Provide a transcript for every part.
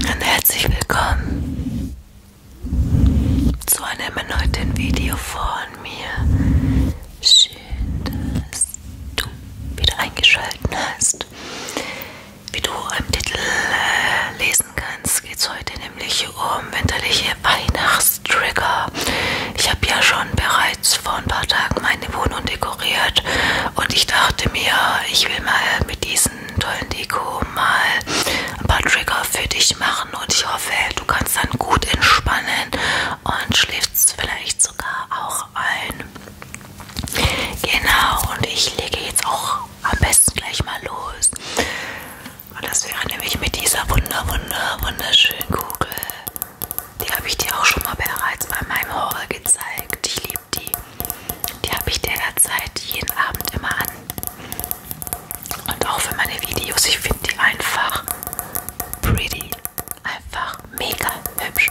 Und herzlich willkommen zu einem erneuten Video von mir. Schön, dass du wieder eingeschalten hast. Wie du im Titel äh, lesen kannst, geht es heute nämlich um winterliche Weihnachts Trigger. Ich habe ja schon bereits vor ein paar Tagen meine Wohnung dekoriert und ich dachte mir, ich will mal mit diesem tollen Deko mal ein paar Trigger für dich machen und ich hoffe, du kannst dann gut entspannen und schläfst vielleicht sogar auch ein. Genau, und ich lege jetzt auch am besten gleich mal los. Und das wäre nämlich mit dieser wunder, wunder, wunderschönen Kugel. Die habe ich dir auch schon mal bereits bei meinem Horror gezeigt. Ich liebe die. Die habe ich derzeit jeden Abend immer an. Und auch für meine Videos. Ich finde die einfach pretty. Einfach mega hübsch.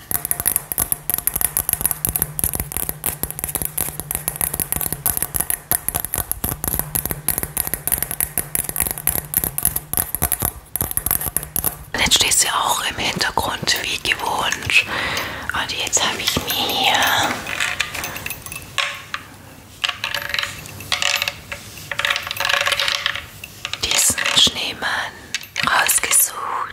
Und jetzt steht sie auch im Hintergrund wie gewohnt. Und jetzt habe ich mir hier diesen Schneemann rausgesucht gemacht.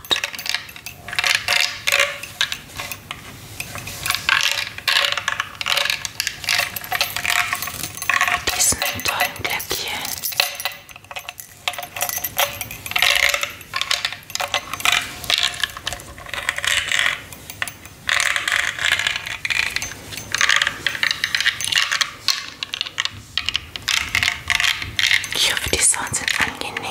Mit diesen tollen Glöckchen. Ich hoffe, die Sounds sind angenehm.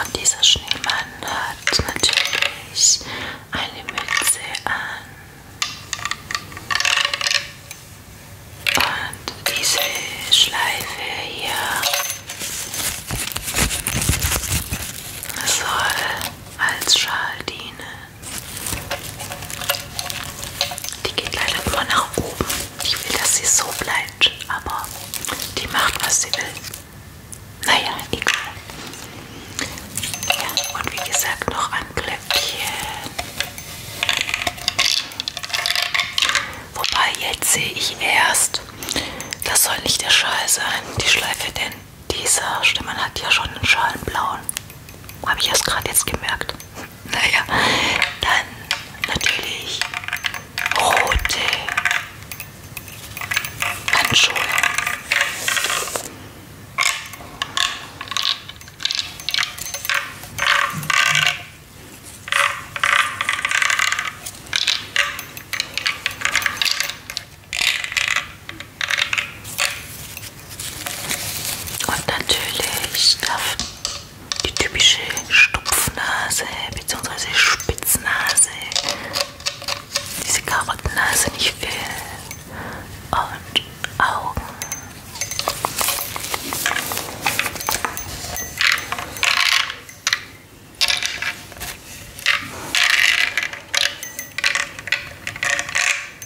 Und dieser Schneemann hat natürlich eine Mütze an. Und diese Schleife hier soll als Schal dienen. Die geht leider immer nach oben. Ich will, dass sie so bleibt, aber die macht, was sie will. Naja, egal. Ja, und wie gesagt, noch ein Glöckchen. Wobei, jetzt sehe ich erst, das soll nicht der Schal sein, die Schleife, denn dieser Stimmen hat ja schon einen Schalenblauen. Habe ich erst gerade jetzt gemerkt. Naja, dann natürlich rote Handschuhe. Und natürlich darf die typische Stupfnase bzw. Spitznase, diese Karottennase nicht fehlen. Und Augen.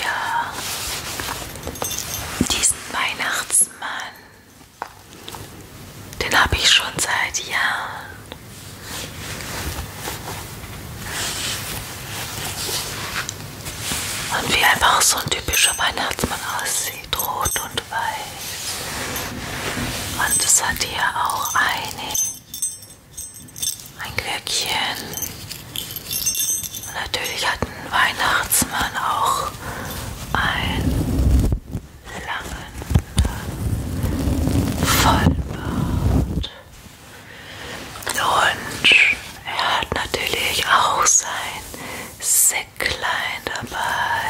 Ja, diesen Weihnachtsmann, den habe ich schon seit Jahren. Und wie einfach so ein typischer Weihnachtsmann aussieht sieht rot und weiß. Und es hat hier auch eine, ein Glöckchen. Und natürlich hat ein Weihnachtsmann auch einen langen Vollbart. Und er hat natürlich auch sein Sekt klein dabei.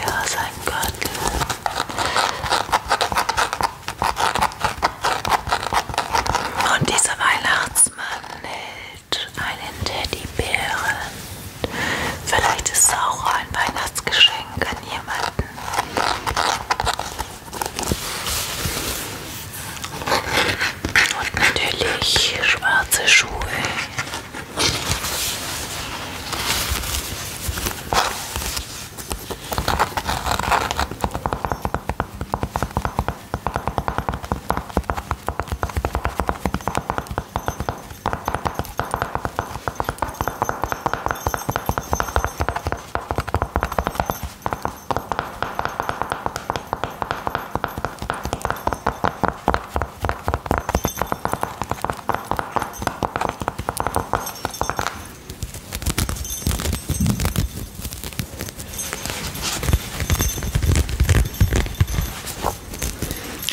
Ja, sein Gürtel. Und dieser Weihnachtsmann hält einen Teddybären. Vielleicht ist es auch ein Weihnachtsgeschenk an jemanden. Und natürlich schwarze Schuhe.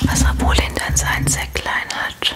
Was Napoleon denn sein Säcklein hat.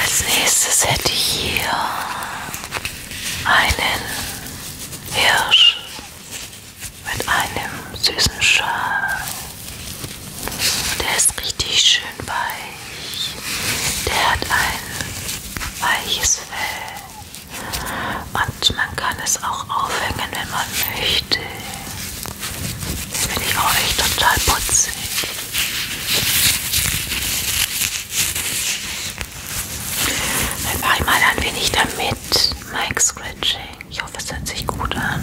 Als nächstes hätte ich hier einen Hirsch mit einem süßen Schal. Der ist richtig schön weich. Der hat ein weiches Fell. Und man kann es auch aufhängen, wenn man möchte. Den finde ich auch echt total putzig. Dann mache ich mal ein wenig damit Mike Scratching. Ich hoffe, es hört sich gut an.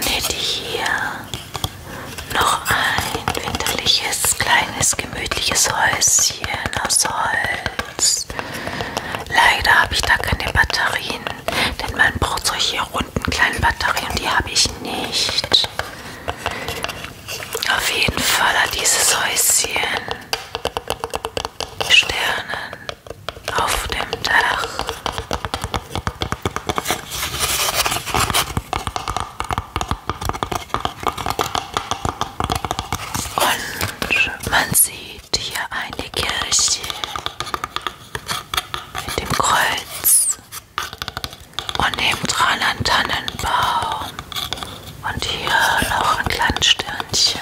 Nähte hier noch ein winterliches kleines Gemüse gemütliches Häuschen aus Holz. Leider habe ich da keine Batterien, denn man braucht solche runden kleinen Batterien, die habe ich nicht. Auf jeden Fall hat dieses Häuschen Sternen auf dem Dach. Und man sieht hier eine Kirche mit dem Kreuz und nebendran ein Tannenbaum und hier noch ein kleines Sternchen.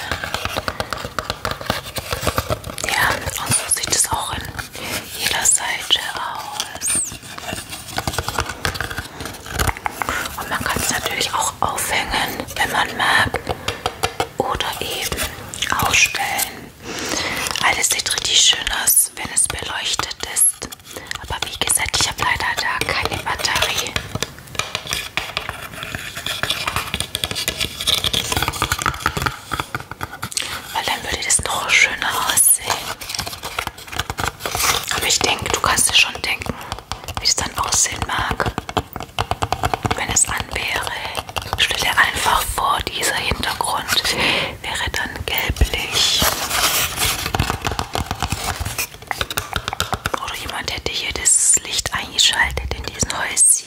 Ja, und so sieht es auch in jeder Seite aus. Und man kann es natürlich auch aufhängen, wenn man mag. Oder eben ausstellen. Alles sieht richtig schön aus, wenn es beleuchtet ist. Aber wie gesagt, ich habe leider da keine Batterie. Weil dann würde das noch schöner aussehen. Aber ich denke, du kannst dir schon denken, wie es dann aussehen mag, wenn es an wäre. Stell dir einfach vor, dieser Hintergrund wäre dann gelblich. Oder jemand hätte hier das Licht eingeschaltet in diesen Häuschen.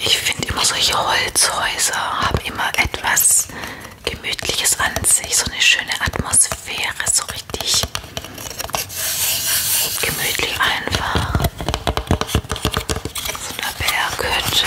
Ich finde immer solche Holzhäuser haben immer etwas Gemütliches an sich, so eine schöne Atmosphäre, so richtig gemütlich einfach. So eine Berghütte.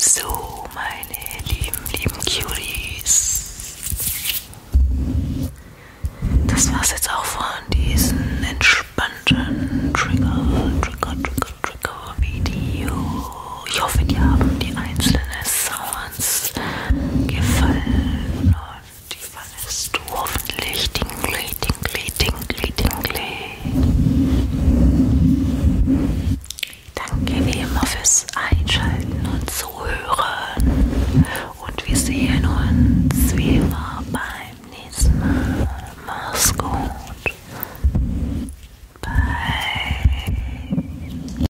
So, meine lieben, lieben Cuties. Das war's jetzt auch von diesen entspannten Trigger, Trigger, Trigger, Trigger Video. Ich hoffe, die haben die einzelnen Sounds kannst gefallen und die fallest du hoffentlich Dingli, Dingli, Dingli, Dingli. Danke wie immer fürs Einschalten und Zuhören und wir sehen uns wie immer beim nächsten Mal. Mach's gut. Bye.